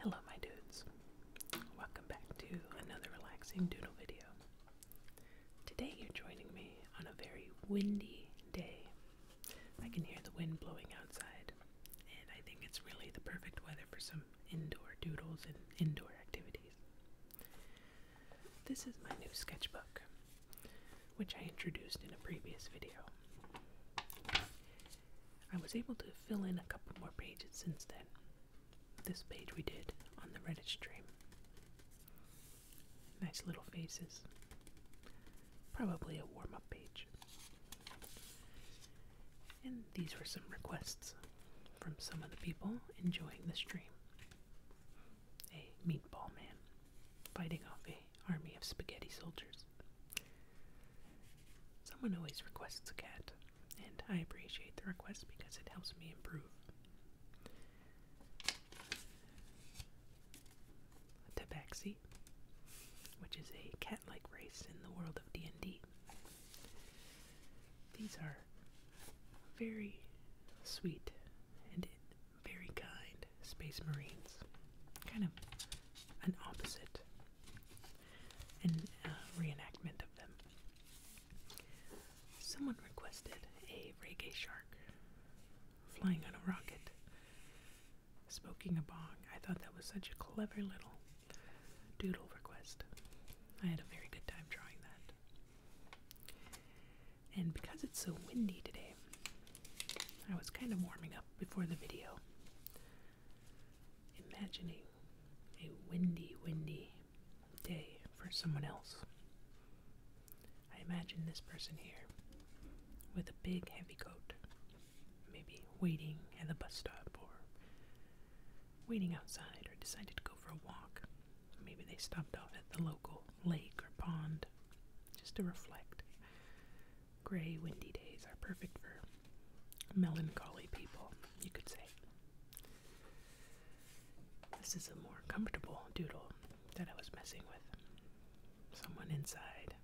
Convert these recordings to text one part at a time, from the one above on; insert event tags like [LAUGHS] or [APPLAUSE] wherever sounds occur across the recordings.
Hello my dudes. Welcome back to another relaxing doodle video. Today you're joining me on a very windy day. I can hear the wind blowing outside and I think it's really the perfect weather for some indoor doodles and indoor activities. This is my new sketchbook which I introduced in a previous video. I was able to fill in a couple more pages since then. This page we did on the Reddit stream. Nice little faces. Probably a warm up page. And these were some requests from some of the people enjoying the stream. A meatball man fighting off a army of spaghetti soldiers. Someone always requests a cat, and I appreciate the request because it helps me improve. tabaxi, which is a cat-like race in the world of D&D. These are very sweet and very kind space marines. Kind of an opposite and uh, reenactment of them. Someone requested a reggae shark flying on a rocket, smoking a bong. I thought that was such a clever little doodle request. I had a very good time drawing that. And because it's so windy today, I was kind of warming up before the video imagining a windy, windy day for someone else. I imagine this person here with a big, heavy coat, maybe waiting at the bus stop or waiting outside, or decided to go for a walk. Maybe they stopped off at the local lake or pond just to reflect. Gray, windy days are perfect for melancholy people, you could say. This is a more comfortable doodle that I was messing with. Someone inside,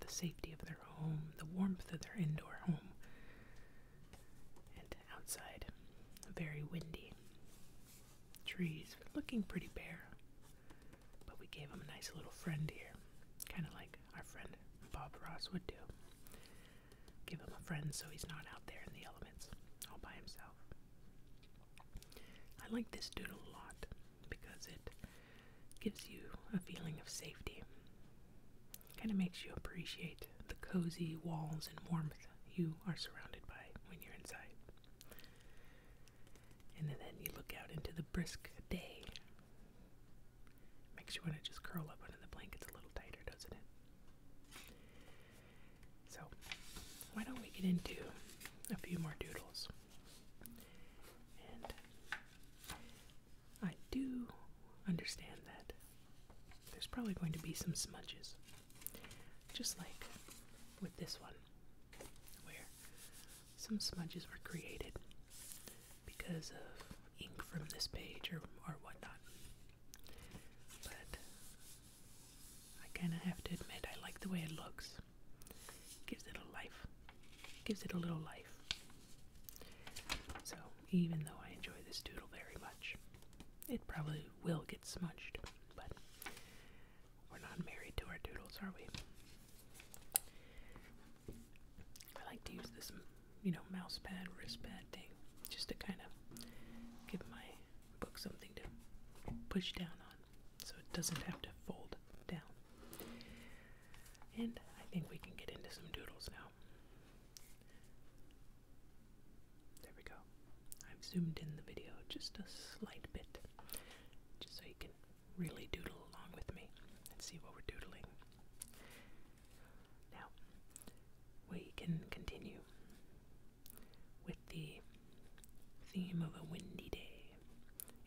the safety of their home, the warmth of their indoor home, and outside, very windy. Trees looking pretty bare. But we gave him a nice little friend here, kind of like our friend Bob Ross would do. Give him a friend so he's not out there in the elements all by himself. I like this doodle a lot because it gives you a feeling of safety. Kind of makes you appreciate the cozy walls and warmth you are surrounded by when you're inside. And then you look out into the brisk day Makes you want to just curl up under the blankets a little tighter, doesn't it? So, why don't we get into a few more doodles? And I do understand that there's probably going to be some smudges, just like with this one, where some smudges were created because of ink from this page or, or whatnot. But I kind of have to admit, I like the way it looks. Gives it a life. Gives it a little life. So, even though I enjoy this doodle very much, it probably will get smudged, but we're not married to our doodles, are we? I like to use this, you know, mouse pad, wrist pad thing just to kind of give my book something to push down on so it doesn't have to fold down. And I think we can get into some doodles now. There we go. I've zoomed in the video just a slight bit just so you can really doodle along with me and see what we're doodling. Now, we can continue with the theme of a windy day,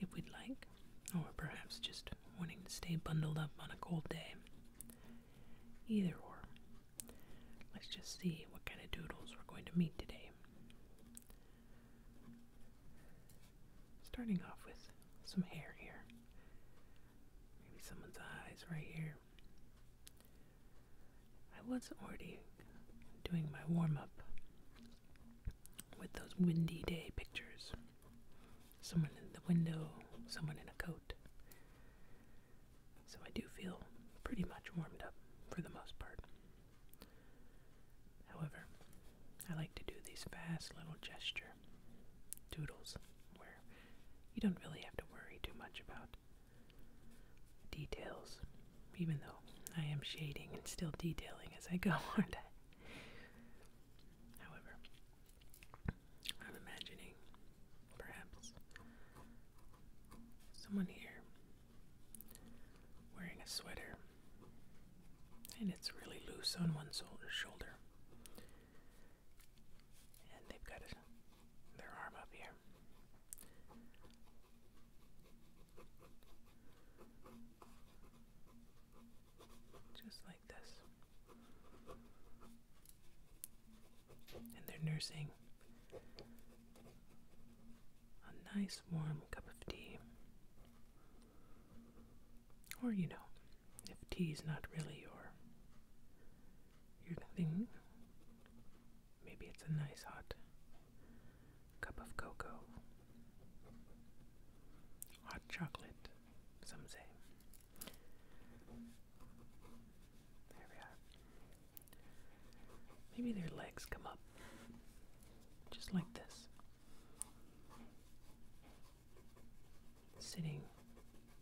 if we'd like, or perhaps just wanting to stay bundled up on a cold day. Either or. Let's just see what kind of doodles we're going to meet today. Starting off with some hair here. Maybe someone's eyes right here. I was already doing my warm up with those windy day pictures. Someone in the window, someone in a coat. So I do feel pretty much warmed up for the most part. However, I like to do these fast little gesture doodles where you don't really have to worry too much about details, even though I am shading and still detailing as I go, [LAUGHS] aren't I? However, I'm imagining perhaps someone here wearing a sweater, and it's really loose on one shoulder. And they've got their arm up here. Just like this. And they're nursing a nice warm cup of tea or, you know, if tea is not really your, your thing, maybe it's a nice hot cup of cocoa, hot chocolate, some say. There we are. Maybe their legs come up just like this sitting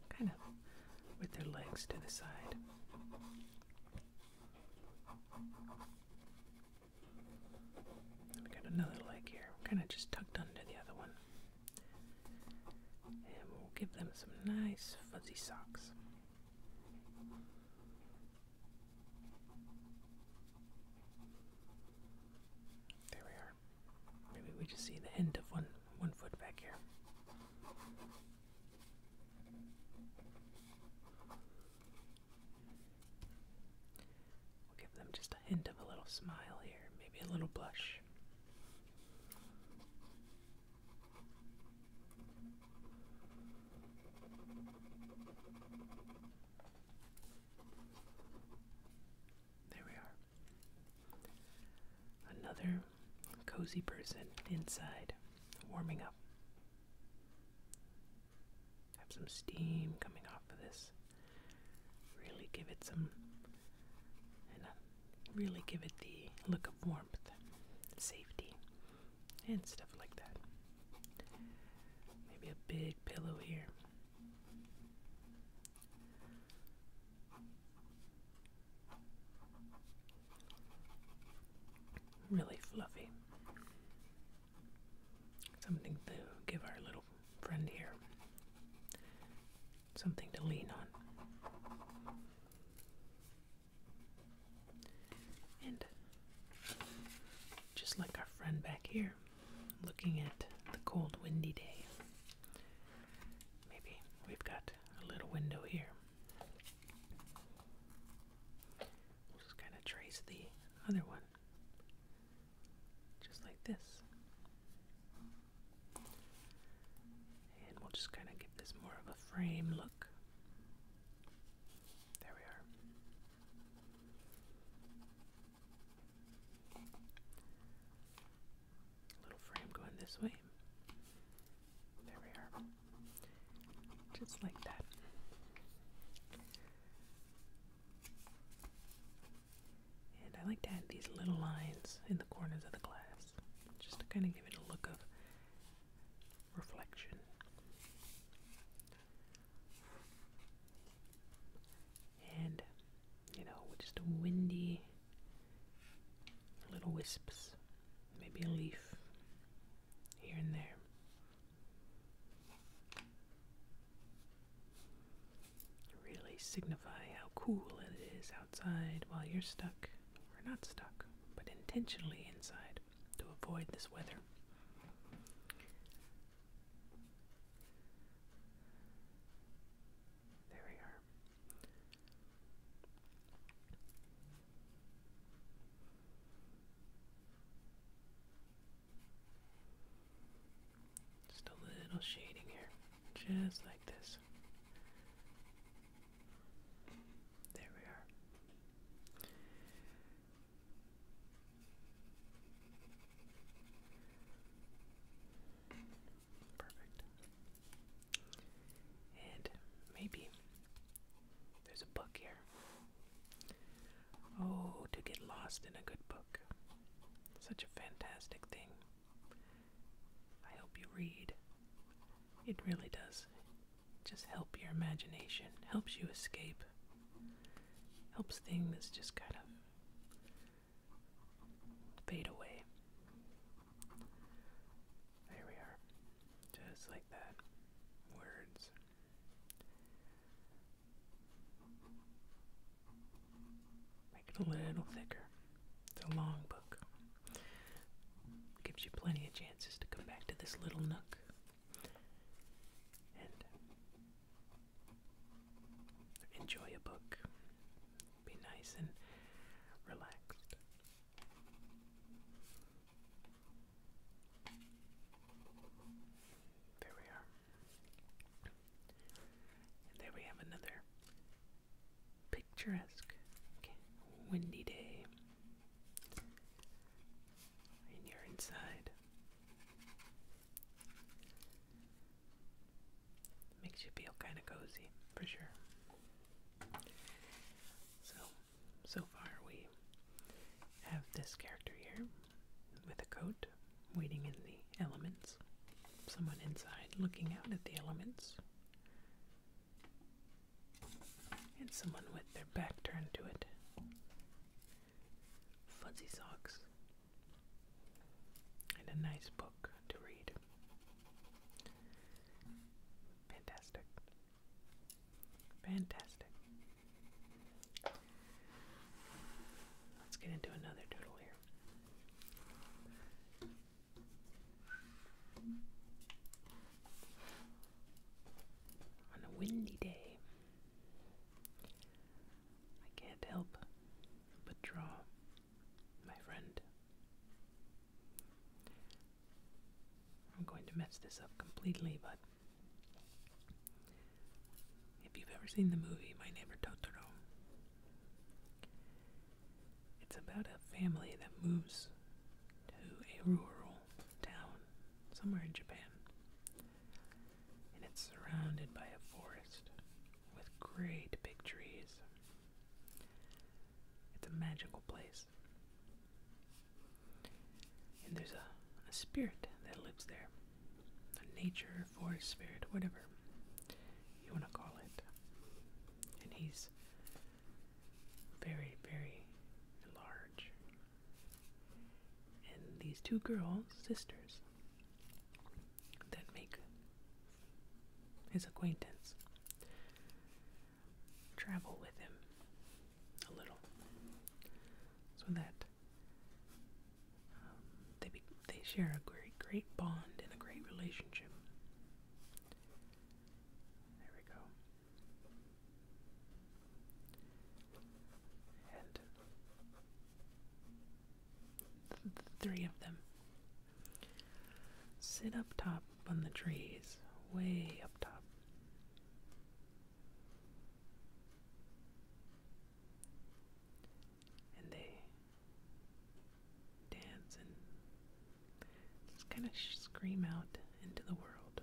kind of with their legs to the side. We got another leg here, kind of just tucked under the other one. And we'll give them some nice fuzzy socks. There we are. Maybe we just see the end of one one foot back here. We'll give them just a hint of a little smile here, maybe a little blush. There we are. Another cozy person inside, warming up. Have some steam coming off of this. Really give it some, uh, really give it the look of warmth, safety, and stuff like that. Maybe a big pillow here. Really fluffy. Something to give our little friend here. Something to lean on. And just like our friend back here, looking at the cold, windy day. Maybe we've got a little window here. We'll just kind of trace the other one, just like this. And we'll just kind of give this more of a frame look. There we are. Little frame going this way. There we are. Just like that. And I like to add these little lines in the corners of the glass just to kind of give it a look of reflection. And, you know, just windy little wisps, maybe a leaf here and there. Really signify how cool it is outside while you're stuck, or not stuck, but intentionally inside to avoid this weather. There we are. Just a little shading here, just like this. There we are. Perfect. And maybe there's a book here. Oh, to get lost in a good book. Such a fantastic thing. I hope you read. It really does just help your imagination, helps you escape, helps things just kind of fade away. There we are. Just like that. Words. Make it a little thicker. It's a long book. Gives you plenty of chances to come back to this little nook and enjoy a book. Be nice and relaxed. There we are. there we have another picturesque windy day and you're inside. Makes you feel kind of cozy, for sure. So, so far we have this character here with a coat waiting in the elements, someone inside looking out at the elements, and someone with their back turned to it. Fuzzy socks. And a nice book to read. Fantastic. Fantastic. Let's get into another doodle here on a windy day. I can't help but draw my friend. I'm going to mess this up completely, but if you've ever seen the movie My Neighbor Totoro, it's about a family that moves to a rural town somewhere in Japan. And it's surrounded by a forest with great big trees. It's a magical place. And there's a, spirit that lives there. A nature, forest spirit, whatever you want to call it. And he's very, very large. And these two girls, sisters, that make his acquaintance travel with him a little so that um, they, they share a great, great bond and a great relationship. There we go. And three of them sit up top on the trees, way up top. And they dance and just kind of scream out into the world.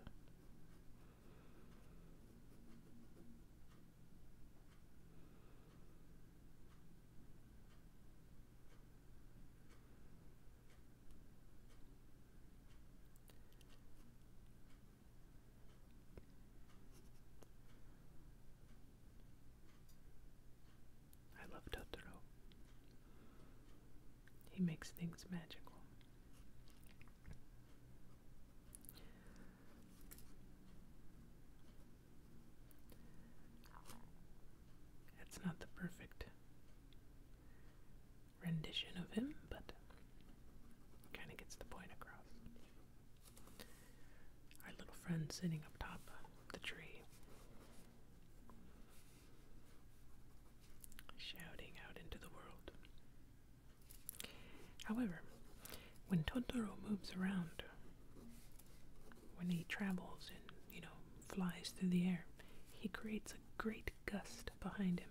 I love Totoro. He makes things magical. That's not the perfect rendition of him, but kind of gets the point across. Our little friend sitting up top the tree shouting out into the world. However, when Totoro moves around, when he travels and, you know, flies through the air, he creates a great gust behind him.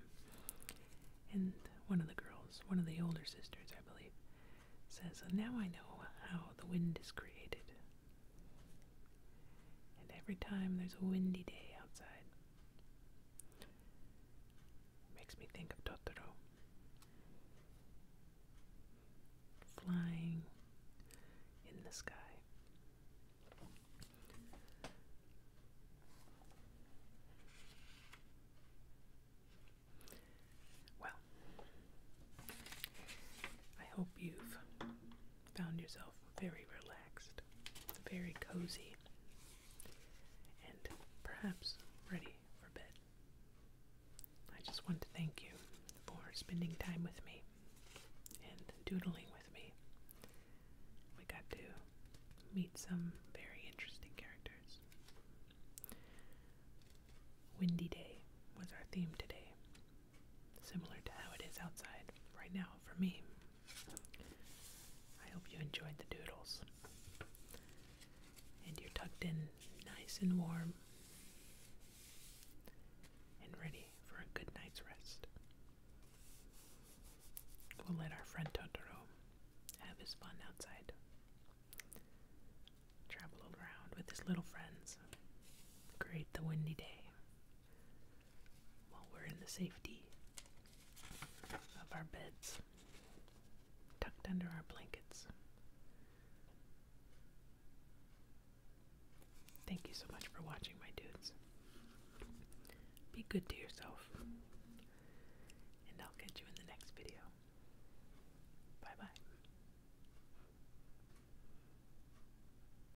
And one of the girls, one of the older sisters, I believe, says, Now I know how the wind is created and every time there's a windy day outside. makes me think of Totoro. Flying in the sky. Well, I hope you've found yourself very relaxed, very cozy, and perhaps ready for bed. I just want to thank you for spending time with me and doodling with me. We got to meet some very interesting characters. Windy Day was our theme today, similar to how it is outside right now for me. I hope you enjoyed the doodles. And you're tucked in nice and warm and ready for a good night's rest. We'll let our friend Totoro have his fun outside. Travel around with his little friends. Create the windy day while we're in the safety of our beds, tucked under our blankets. Thank you so much for watching, my dudes. Be good to yourself, and I'll catch you in the next video. Bye bye.